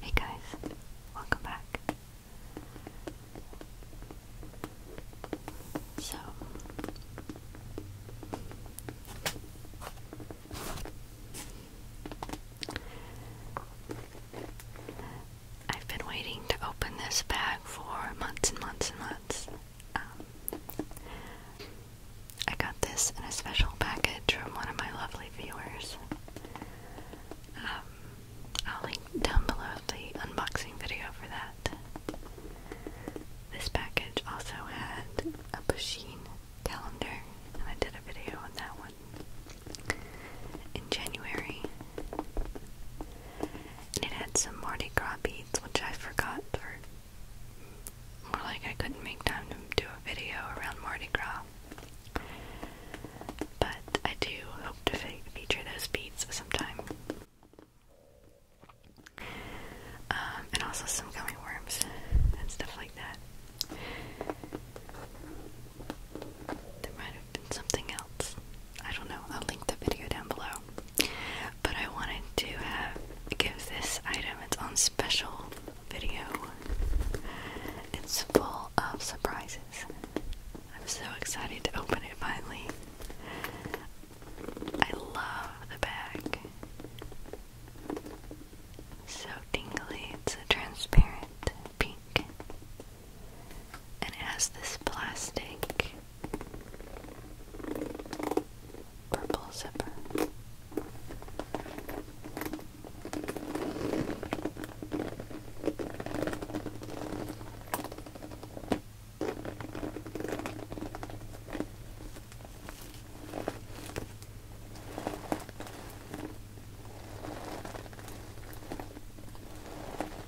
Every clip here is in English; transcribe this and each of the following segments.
Hey guys, welcome back. So I've been waiting to open this bag for months and months and months. Um, I got this in a special package from one of my lovely viewers. Um, I'll link down below the unboxing video for that. This package also had a Pusheen calendar, and I did a video on that one in January. And it had some Mardi Gras beads, which I forgot Or More like I couldn't make time to do a video around Mardi Gras. But I do hope to feature those beads sometime. Um, and also some gummy worms and stuff like that. There might have been something else. I don't know. I'll link the video down below. But I wanted to give this item its own special video. It's full of surprises. I'm so excited to open it finally. I love the bag. So tingly. It's a transparent pink and it has this plastic purple zipper.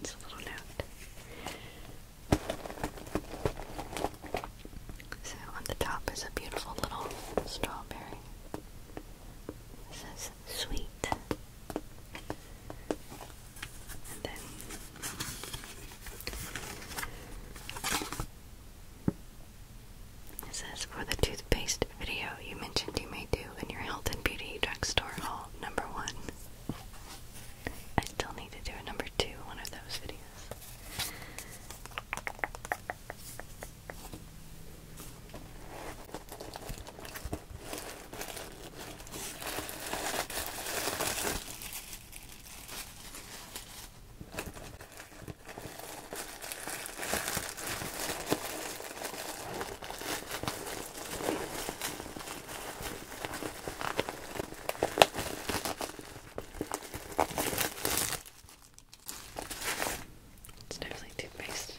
It's a little note. So on the top is a beautiful little strawberry. It says sweet and then it says for the toothpaste video you mentioned you may do in your health and beauty drugstore haul number one. I still need to do a number two one of those videos. It's definitely toothpaste.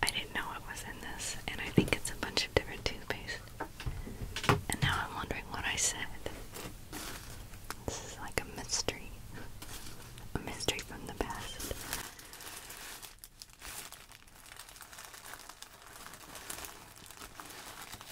I didn't know what was in this, and I think it's a bunch of different toothpaste. And now I'm wondering what I said. This is like a mystery. A mystery from the past.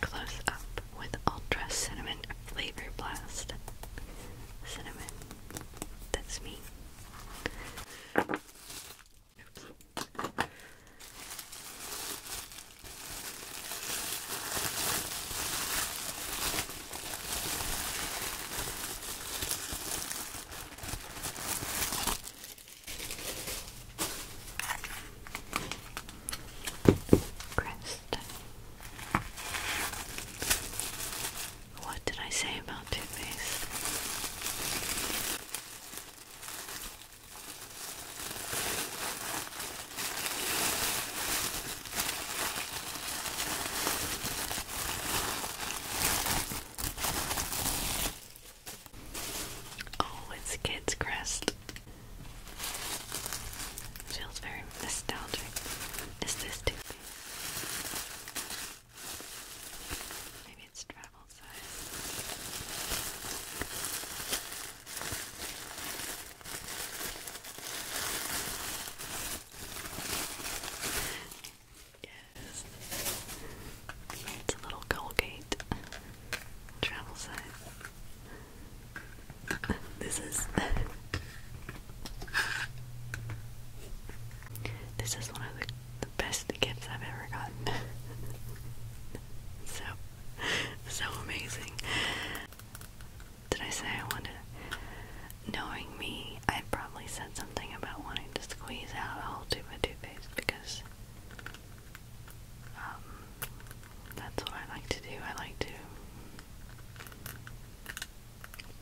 Close up with Ultra Cinnamon Flavor Blast. Cinnamon. That's me. Crest. What did I say about toothpaste? Oh, it's Kid's Crest. Feels very nostalgic. Is this Toothy? Maybe it's travel. Yes. It's a little Colgate travel size. This is this is one of the the best gifts I've ever gotten. so, so amazing. Did I say I wanted, knowing me, I probably said something about wanting to squeeze out a whole tube of toothpaste because um, that's what I like to do. I like to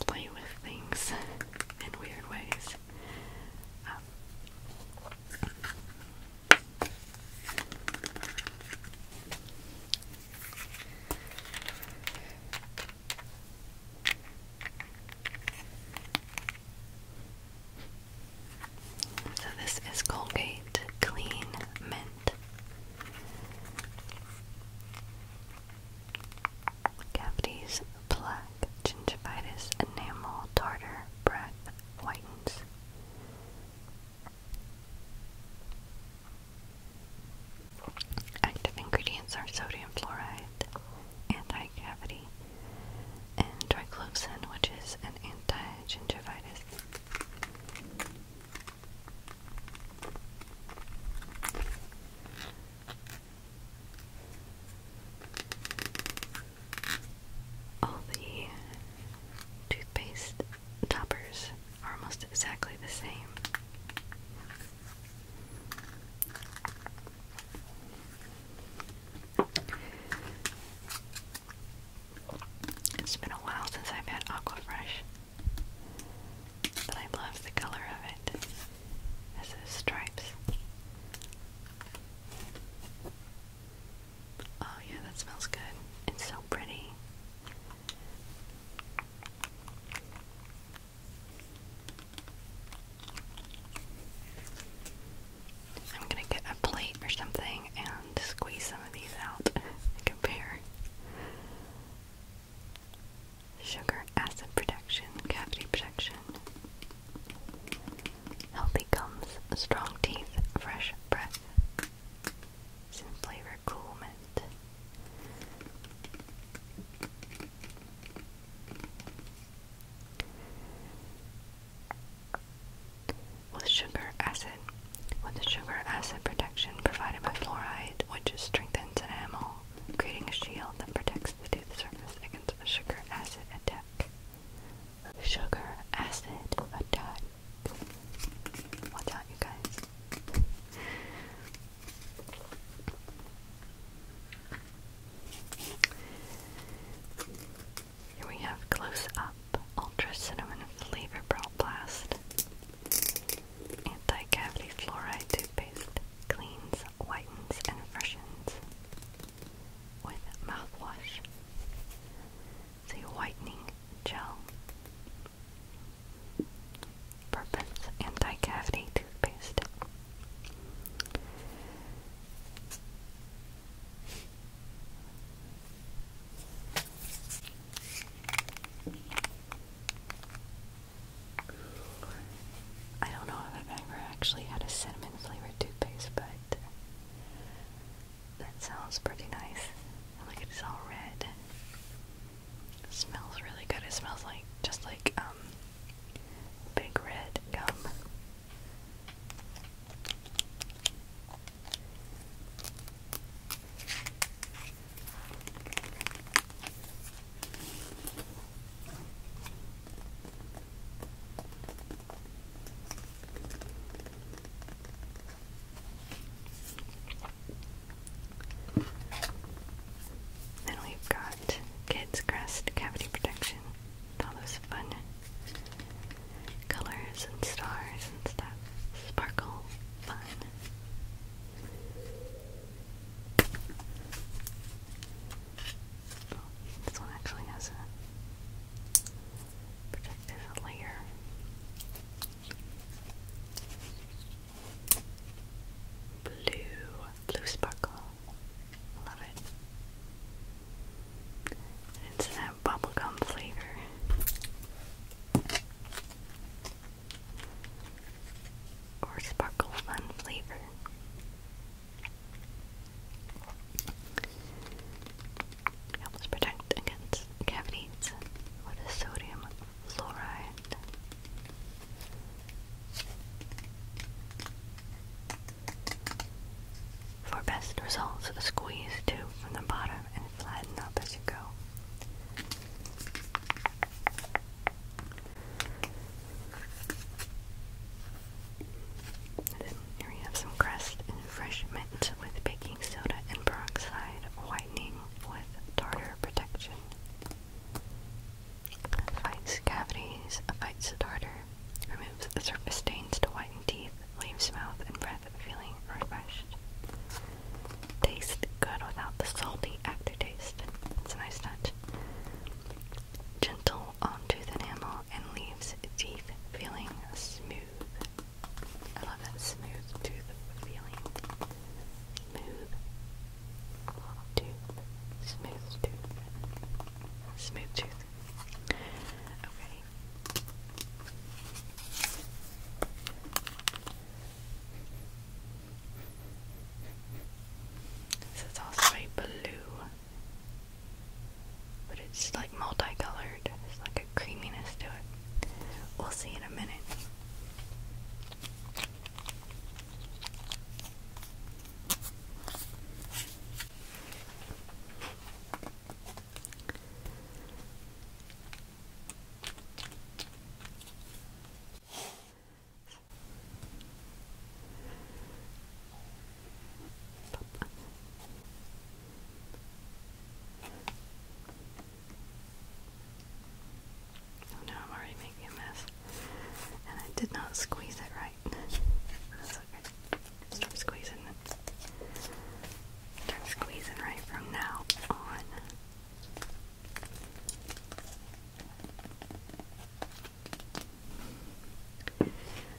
play with things in weird ways. Um, so, this is Colgate Clean Mint Cavities plaque, gingivitis, enamel, tartar, breath, whitens. Active ingredients are sodium fluoride, anti-cavity, and triclosan, which is an anti-gingivitis. All the toothpaste toppers are almost exactly the same. It's been a while since I've had Aquafresh, but I love the color of it. It has those stripes. Oh, yeah, that smells good. It's so pretty. I'm gonna get a plate or something and squeeze some of these out and compare. Sugar acid protection, cavity protection. Healthy gums, strong teeth, fresh breath. Simply recoolment. With sugar acid, with sugar acid protection provided by fluoride, which strengthens enamel, creating a shield that protects the tooth surface against sugar acid attack sugar, acid, attack. Watch out, you guys. Here we have Close Up Ultra Cinnamon Flavor Blast Anti Cavity Fluoride Toothpaste Cleans, Whitens, and Freshens with mouthwash. the whitening gel. Purpose anti-cavity toothpaste. I don't know if I've ever actually had a cinnamon flavored toothpaste, but that sounds pretty nice. Look, it's all red. smells really good. It smells like just like um big red gum. Then we've got kids' crest cavity protection all those fun colors and stars and stuff. Sparkle, fun this one actually has a protective layer. Blue, blue sparkle. Love it. it's that bubblegum flavor. Or sparkle fun flavor. It helps protect against cavities with sodium fluoride. For best results, squeeze two from the bottom and flatten up as you go here we have some crust fresh mint with baking soda and peroxide whitening with tartar protection. Fights cavities, fights tartar, removes the surface stains to whiten teeth, leaves mouth and breath feeling refreshed. Tastes good without the salty aftertaste. It's a nice touch. Gentle on tooth enamel and leaves teeth feeling smooth. I love that smooth tooth feeling. Smooth tooth. Smooth tooth. Smooth tooth. Okay. This is also a blue but it's like multicolored. It's like a creaminess to it. We'll see in a minute. Oh no, I'm already making a mess. And I did not squeeze it right. That's okay. Start squeezing Start squeezing right from now on.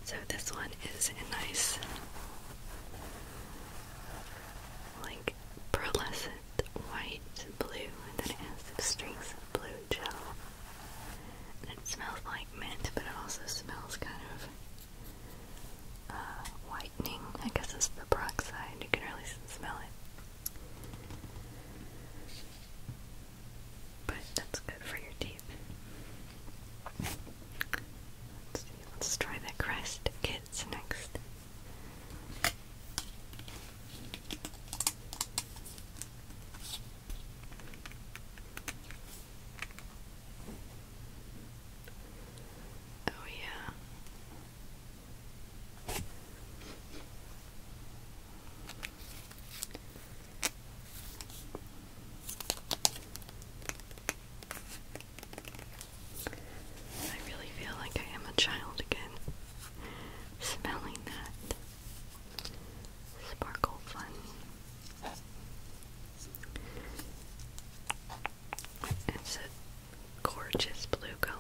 So this one is a nice, like pearlescent white blue, and then it has the of blue gel. it smells like mint, but it also smells kind of uh, whitening. I guess it's the peroxide. You can really smell it but that's good for your teeth. Let's try the Crest Kids next. Oh, yeah. I really feel like I am a child again, smelling that sparkle fun. It's a gorgeous blue color.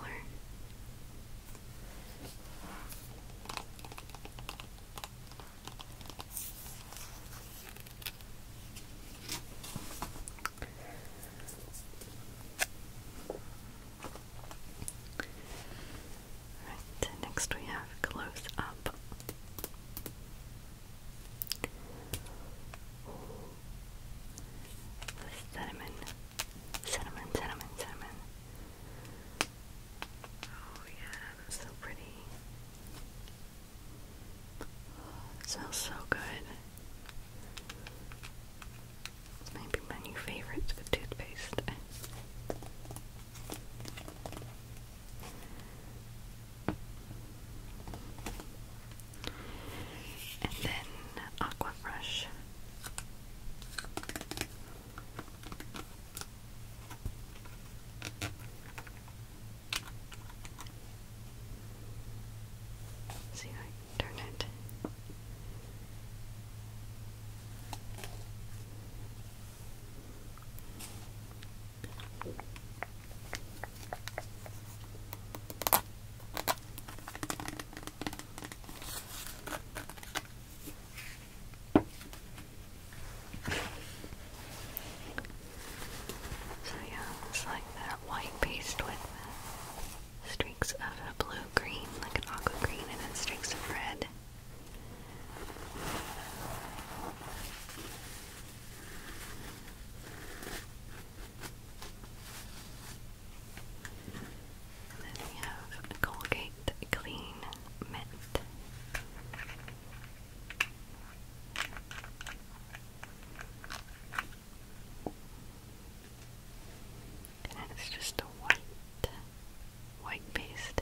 Right, next we have close up. Cinnamon, cinnamon, cinnamon, cinnamon, Oh yeah, that's so pretty. Oh, it smells so good. This might be my new favorite the toothpaste. And then Aqua Fresh. See if I can turn it. So yeah, it's like that white paste with streaks of a blue green, like an aqua green, and then streaks of red. then we have Colgate Clean mint. And it's just a white, white paste.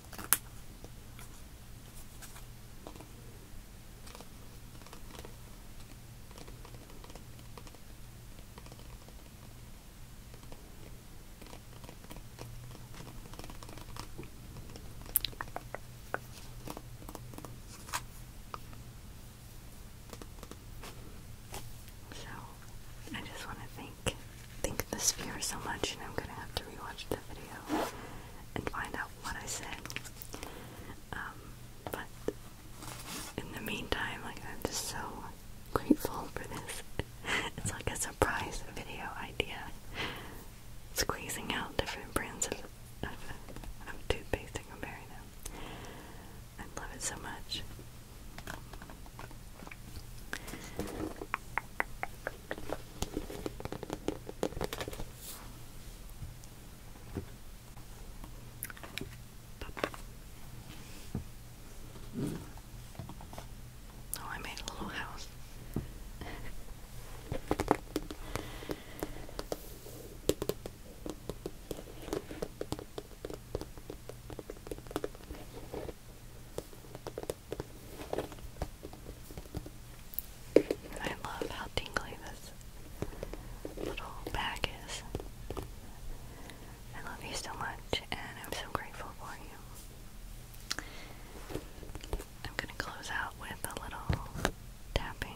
So I just want to thank thank the sphere so much and I'm gonna have to rewatch the video and find out what I said. Um, but in the meantime, I'm just so grateful for this. it's like a surprise video idea, squeezing out different brands of toothpaste and comparing them. I love it so much. Mm. Oh, I made a little house. I love how tingly this little bag is. I love you so much, and I'm so grateful for you. I'm gonna close out with a little tapping.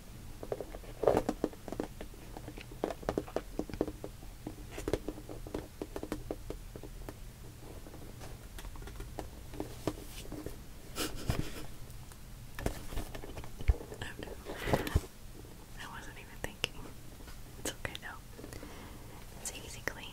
I wasn't even thinking. It's okay though. It's easy clean.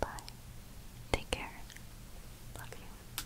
Bye. Take care. Love you.